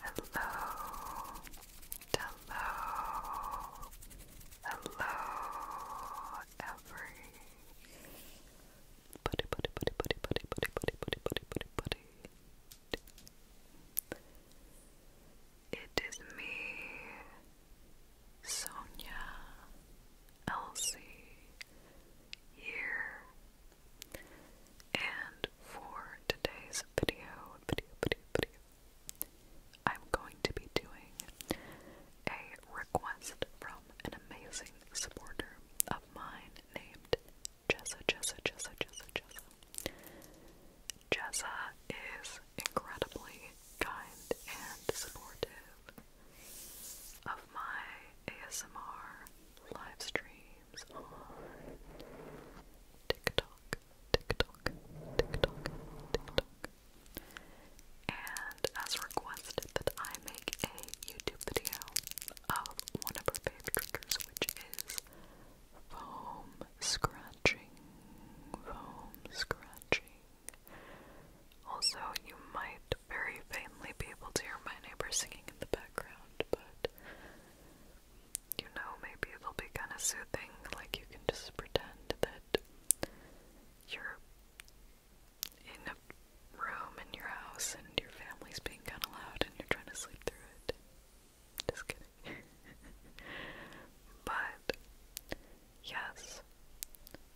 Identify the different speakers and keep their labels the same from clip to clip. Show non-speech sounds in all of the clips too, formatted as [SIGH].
Speaker 1: Hello, hello, hello, every buddy, buddy, buddy, buddy, buddy, buddy, buddy, buddy, buddy, buddy, buddy. It is me, Sonia Elsie, here and for today's video, video, video, video, I'm going to be doing a request from an amazing supporter of mine named Jessa, Jessa, Jessa, Jessa, Jessa. Jessa is incredibly kind and supportive of my ASMR live stream on TikTok, TikTok, TikTok, TikTok. And as requested that I make a YouTube video of one of her favorite triggers, which is foam scratching, foam scratching. Also, you might very faintly be able to hear my neighbor singing in the background, but you know, maybe it'll be kind of soothing. Like you can just pretend that you're in a room in your house and your family's being kind of loud and you're trying to sleep through it. Just kidding. [LAUGHS] but, yes.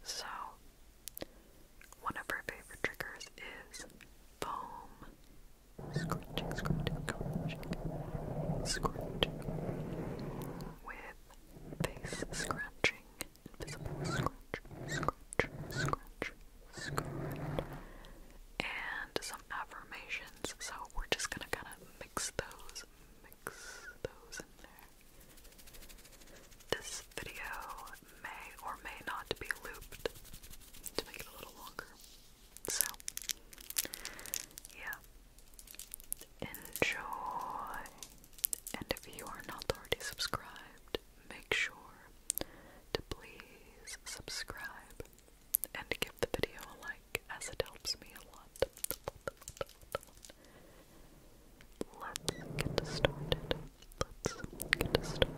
Speaker 1: So, one of our favorite triggers is foam scratching, scratching, scratching, scratching, with face scratching, invisible scratch, scratch, scratch, scratch, and some affirmations. So we're just gonna kind of mix those, mix those in there. This video may or may not be looped to make it a little longer. So, yeah. Enjoy. And if you are not already subscribed, make sure to please subscribe and give the video a like as it helps me a lot. Let's get started. Let's get started.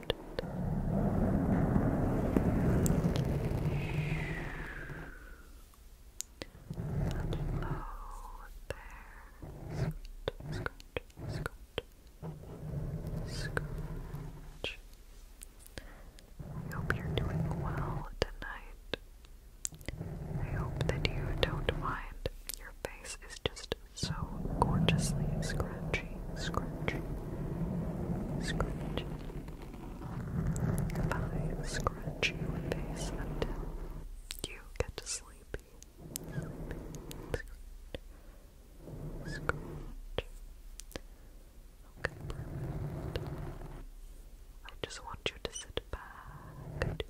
Speaker 1: Scratch. I hope you're doing well tonight. I hope that you don't mind. Your face is just so gorgeously scratchy, scratchy, scratchy, I scratch you and face until you get to sleepy. Scratch. Scratch. I just want you to sit back. And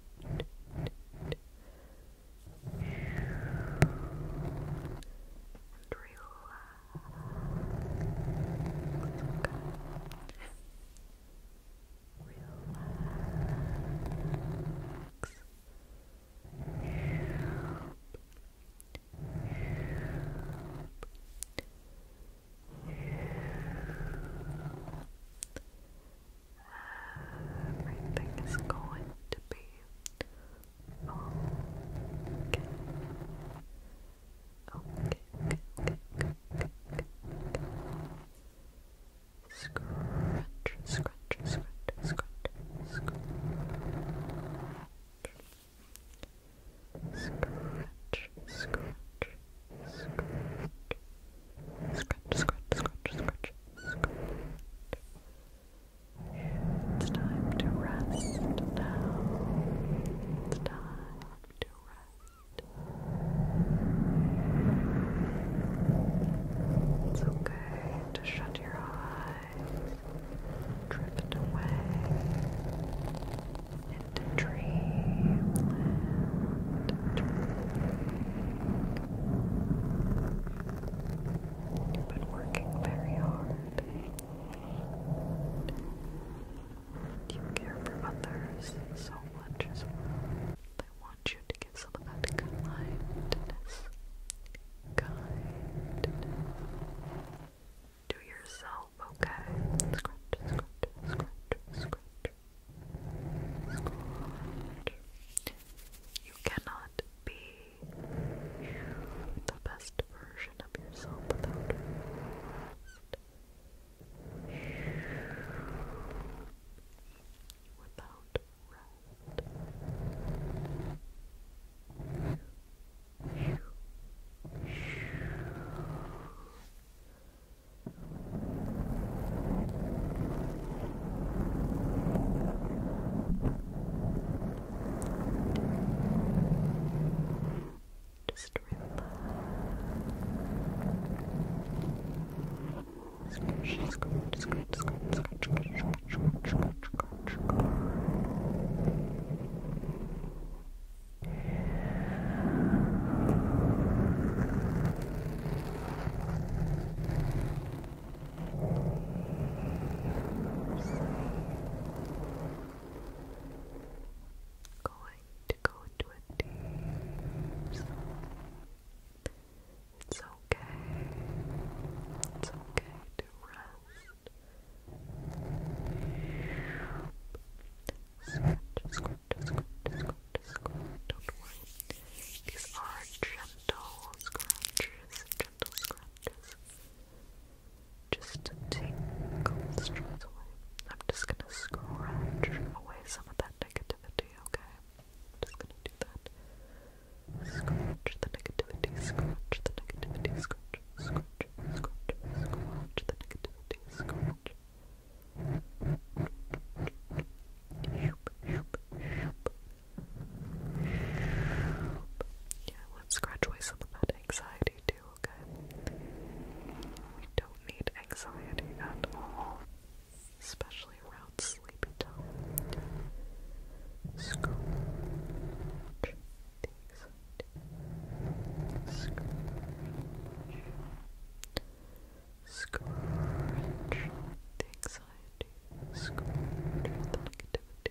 Speaker 1: Everything is going to be Okay. Okay, okay, okay, okay, okay, okay. Scratch, scratch, scratch, scratch, scratch. Scratch, scratch, scratch. Scratch, scratch, scratch, scratch, scratch. Scratch, it's time to rest now. It's time to rest. It's okay to shut your eyes, drift away into dreamland. Dreaming. You've been working very hard. You care for others so much as want you to give some of that kindness. yourself, okay? You cannot be the best version version of yourself without rest. Without rest. Relax. Just relax. Scratch, scratch, scratch, scratch, scratch, scratch, scratch, scratch, scratch, scratch. Sleep going to go into a deep sleep. It's okay. It's okay to rest. Don't worry. These are gentle scratches, gentle scratches just to tingle the stress away. I'm just gonna scratch away some of that negativity, okay? just gonna do that. Scratch the negativity, scratch the negativity, scratch, scratch, scratch, scratch the negativity, scratch. Yeah, let's scratch away some of that anxiety too. We don't need anxiety at all, especially around sleepy time. the anxiety. Scratch. Scratch the anxiety. Scratch the negativity.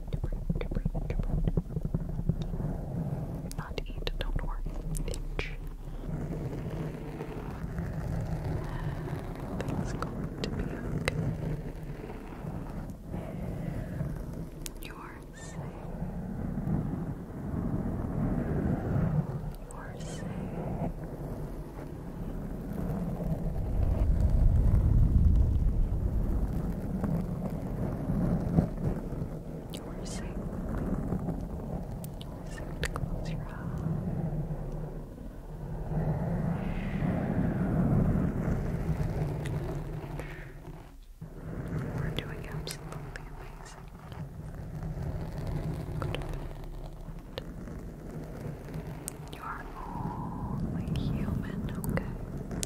Speaker 1: Not eat, don't worry. Itch. going to be okay. You are safe. You are safe. You are safe. You are safe to close your eyes. You are doing absolutely amazing you are only human, okay?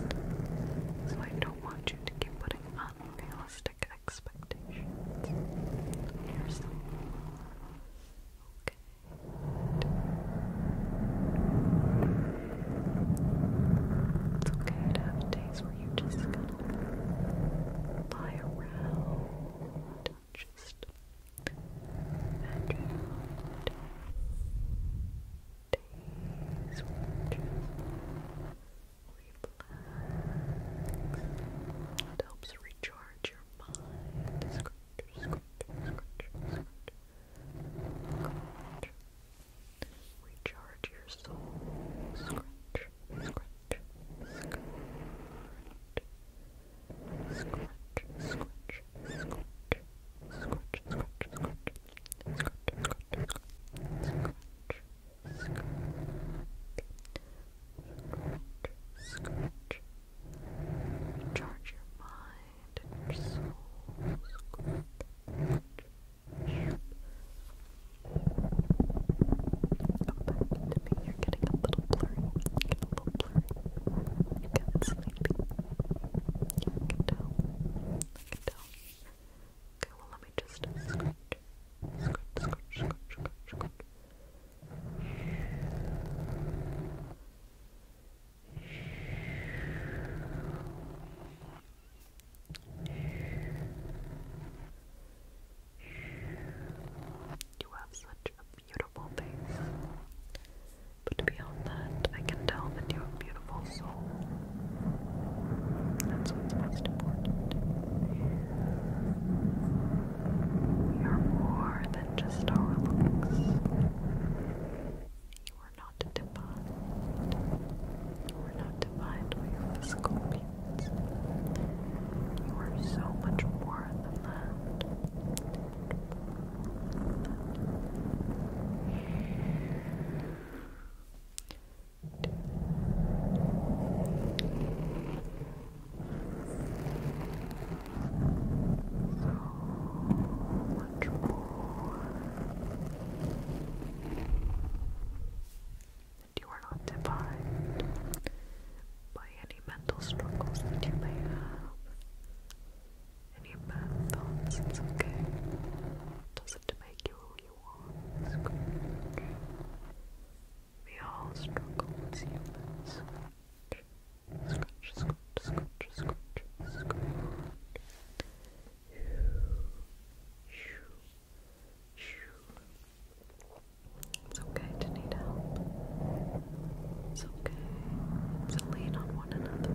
Speaker 1: So I don't want you to keep putting unrealistic expectations on yourself. Okay. It's okay to have days where you just gonna lie around, just and it helps recharge your mind. Scratch, scratch, scratch, scratch. Recharge your soul. Scratch, scratch, scratch. Scratch, scratch, scratch, scratch, scratch, scratch, scratch, charge your mind and your soul. Scratch, scratch. Come back to me. You're getting a little blurry. Getting a little blurry. You're getting sleepy. You can tell. I can tell. Okay, well let me just scratch, scratch, scratch, scratch, scratch, scratch. You have such a beautiful face. But beyond that, I can tell that you're a beautiful soul. That's what's most important. You are more than just our looks. You are not defined. You are not defined by your physical means. You are so much more Than that much more. You are not defined by any mental struggles that you may have and bad thoughts, it's okay. Doesn't make you who you are, it's good. We all struggle as humans. Scratch, scratch, scratch, scratch, scratch. It's okay to need help. It's okay to lean on one another.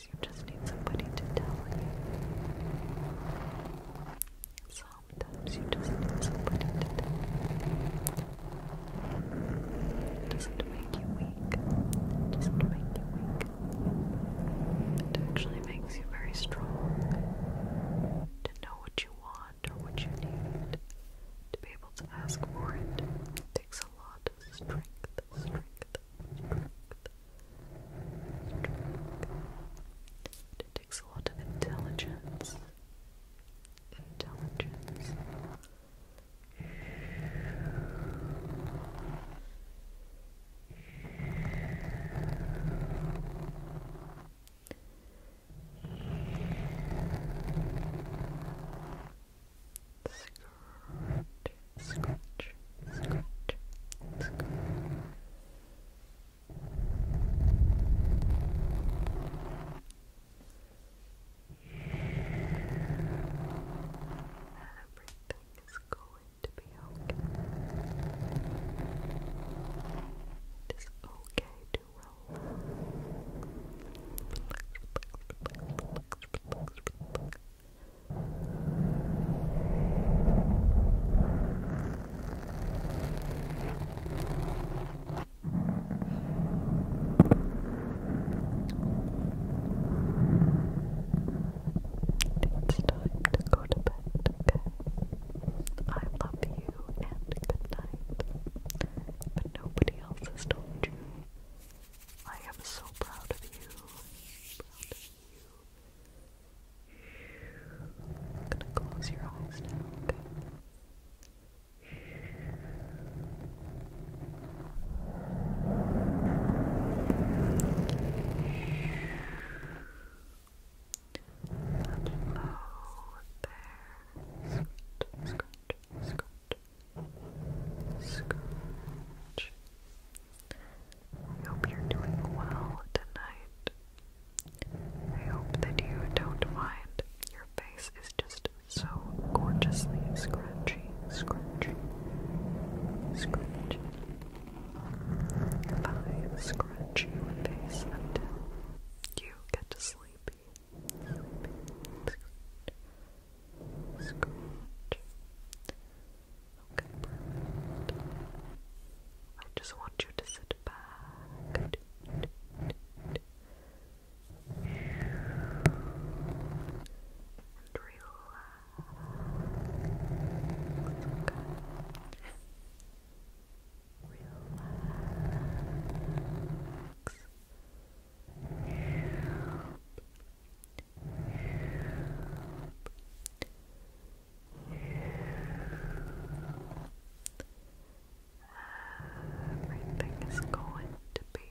Speaker 1: you just need somebody to tell you. Sometimes you just need somebody to tell you. doesn't make you weak. doesn't make you weak. It actually makes you very strong to know what you want or what you need. To be able to ask for it takes a lot strength, strength, strength, strength. It takes a lot of Intelligence. Intelligence. Scratch, scratch, scratch, scratch. Everything is going to be okay. It is okay to relax. It's time to go to bed, okay? I love you and good But nobody else has told you I am so proud of you. you. I'm gonna close your eyes now, okay? And there. Scratch, Scrooge. I hope you're doing well tonight. I hope that you don't mind. Your face is just so gorgeously scrunchy, scrunchy, scrunchy. If I scrunch your face until you get sleepy, sleepy, Scratch. I just want you to sit back. And relax. Relax. Everything is going to be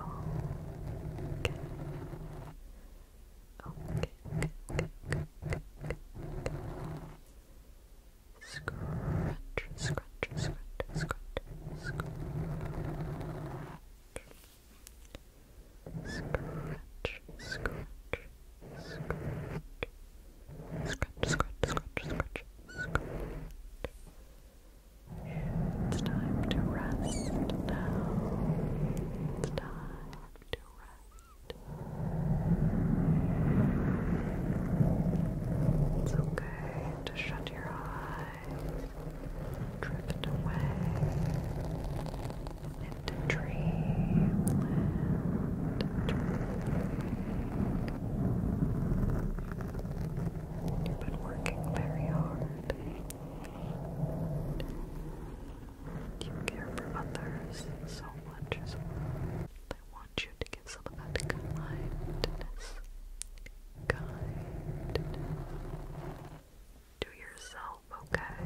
Speaker 1: okay. Okay, okay, okay, okay, okay. Scratch, scratch, scratch, scratch, scratch. Scratch, scratch, scratch. Scratch, scratch, scratch, scratch, scratch. It's time to rest now. It's time to rest. It's okay to shut your eyes drift away into dreamland. You've been working very hard. You care for others so much as I want you to give some of that kindness. Kindness to yourself, okay?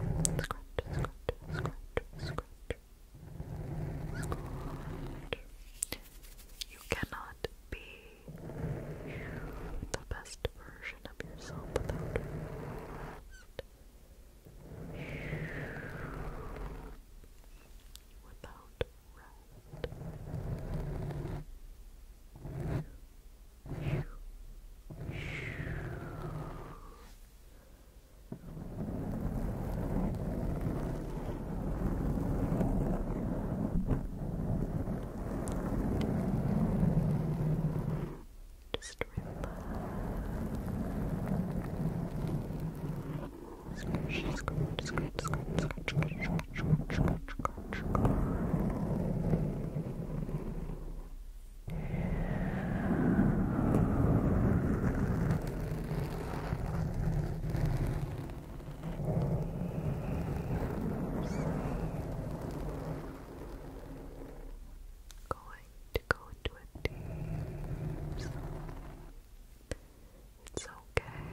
Speaker 1: You cannot be the best version of yourself without rest. Without rest. Just relax. Scratch, scratch, scratch, scratch, scratch, scratch, scratch, scratch, scratch, Going to go into a deep It's okay.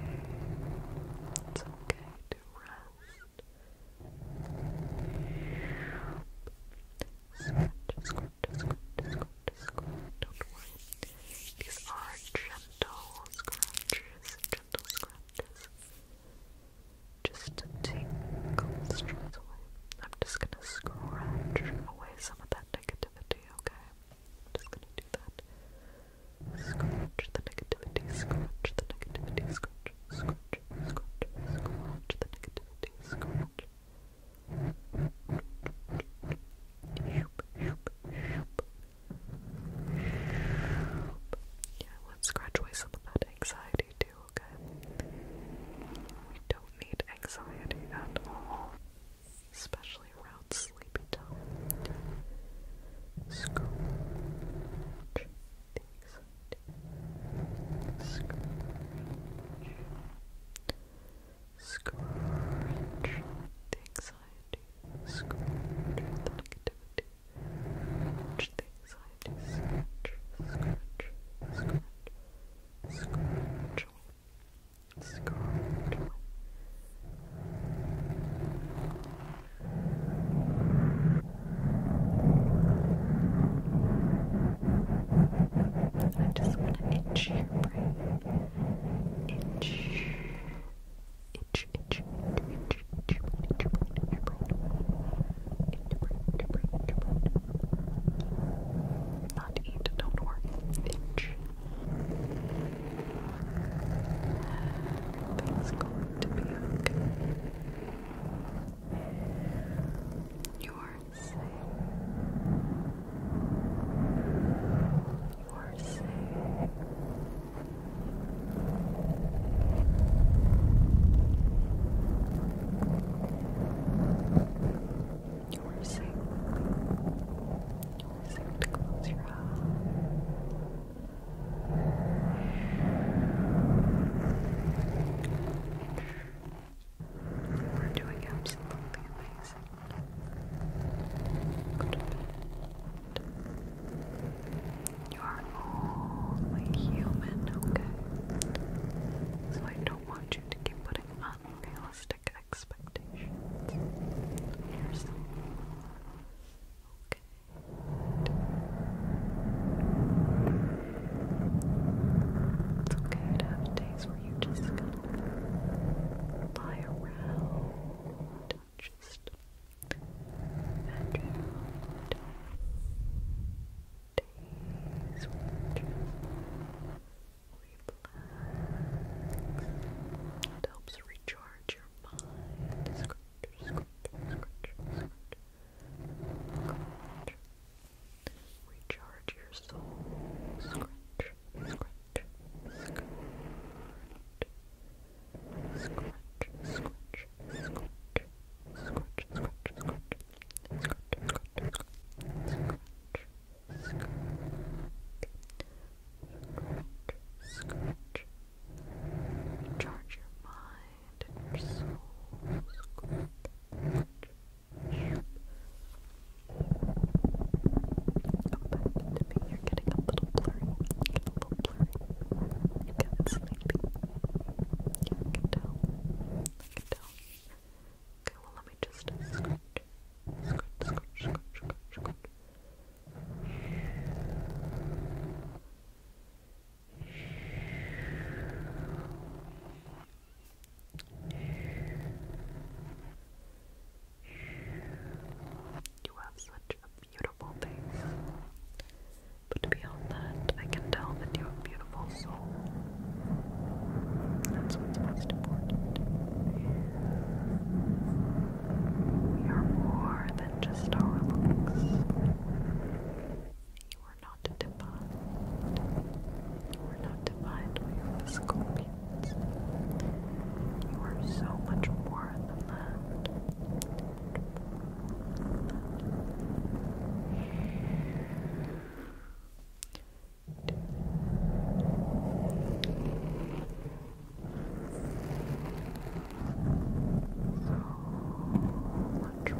Speaker 1: It's okay to rest. Scratch, scratch, scratch, scratch, scratch. Don't worry. These are gentle scratches, gentle scratches. Just to take the stress away. I'm just gonna scratch away some of that negativity, okay? I'm just gonna do that. Scratch the negativity, scratch the negativity, scratch, scratch, scratch, Yeah, let's scratch away some of that anxiety too, okay? We don't need anxiety at all, especially around sleepy time. Scratch the Scrunch the anxiety, scrunch the negativity, scrunch the anxiety, scrunch, scrunch, scrunch, scrunch, scrunch. I just want to itch your brain. Itch. Itch, itch, itch, itch, itch, itch, itch, itch, not eat, don't worry. Itch. Everything's going to be okay. You are safe. You are safe. You are safe. You are safe to close your eyes. We're doing absolutely amazing. You are only human, okay? So I don't want you to keep putting unrealistic expectations on yourself. Okay. It's okay to have days where you just lie around, just veg Days where you just relax. It helps recharge your mind. Scratch. Recharge your soul. Scratch. Scratch. Scratch. Scratch. Scratch. Scratch. Scratch. Scratch. Scratch. Scratch. Scratch. Scratch. Scratch. Scratch. Charge your mind and You're getting a little blurry. Getting a little blurry. I can tell. I can tell. Okay, well let me just you have such a beautiful face. But beyond that, I can tell that you have a beautiful soul. That's what's most important. We are more than just our were not defined. You were not defined by your physical You are so much more than that. So and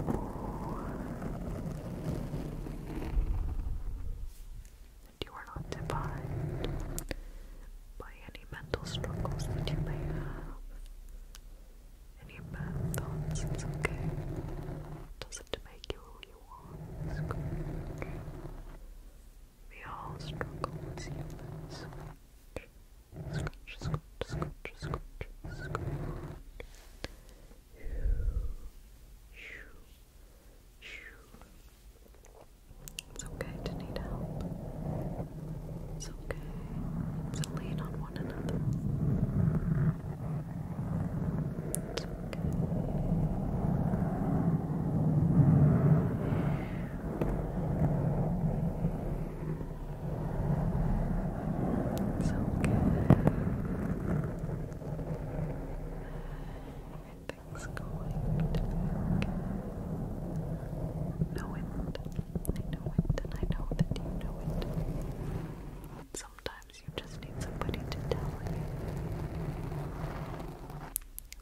Speaker 1: you are not defined by any mental struggles that you may have. Any bad thoughts, it's okay. Doesn't make you who you are, We all struggle with humans. Scratch, it's okay to need help. It's okay to lean on one another. It's okay. It's okay. Everything's going to Know it. I know it, and I know that you know it. sometimes you just need somebody to tell you.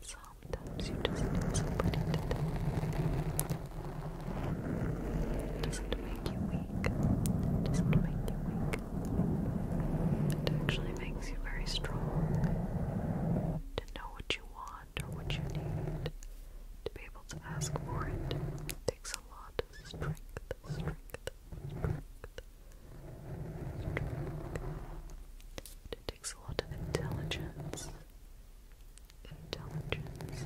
Speaker 1: Sometimes you just need somebody to tell you. It make you it actually makes you very strong to know what you want or what you need. To be able to ask for it, it takes a lot of strength, strength. It takes a lot of intelligence, intelligence,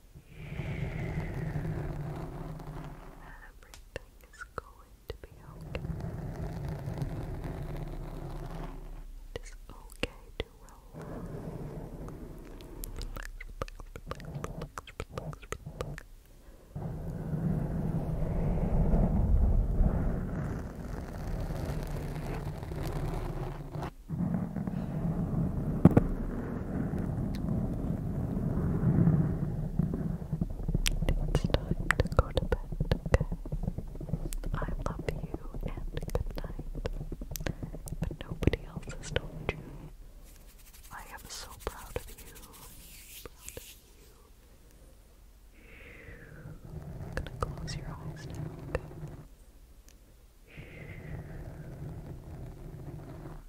Speaker 1: Everything is going to be okay. It is okay to roll. It's time to go to bed, okay? I love you and good But nobody else has told you. I am so proud of you. Proud of you. I'm gonna close your eyes now, okay?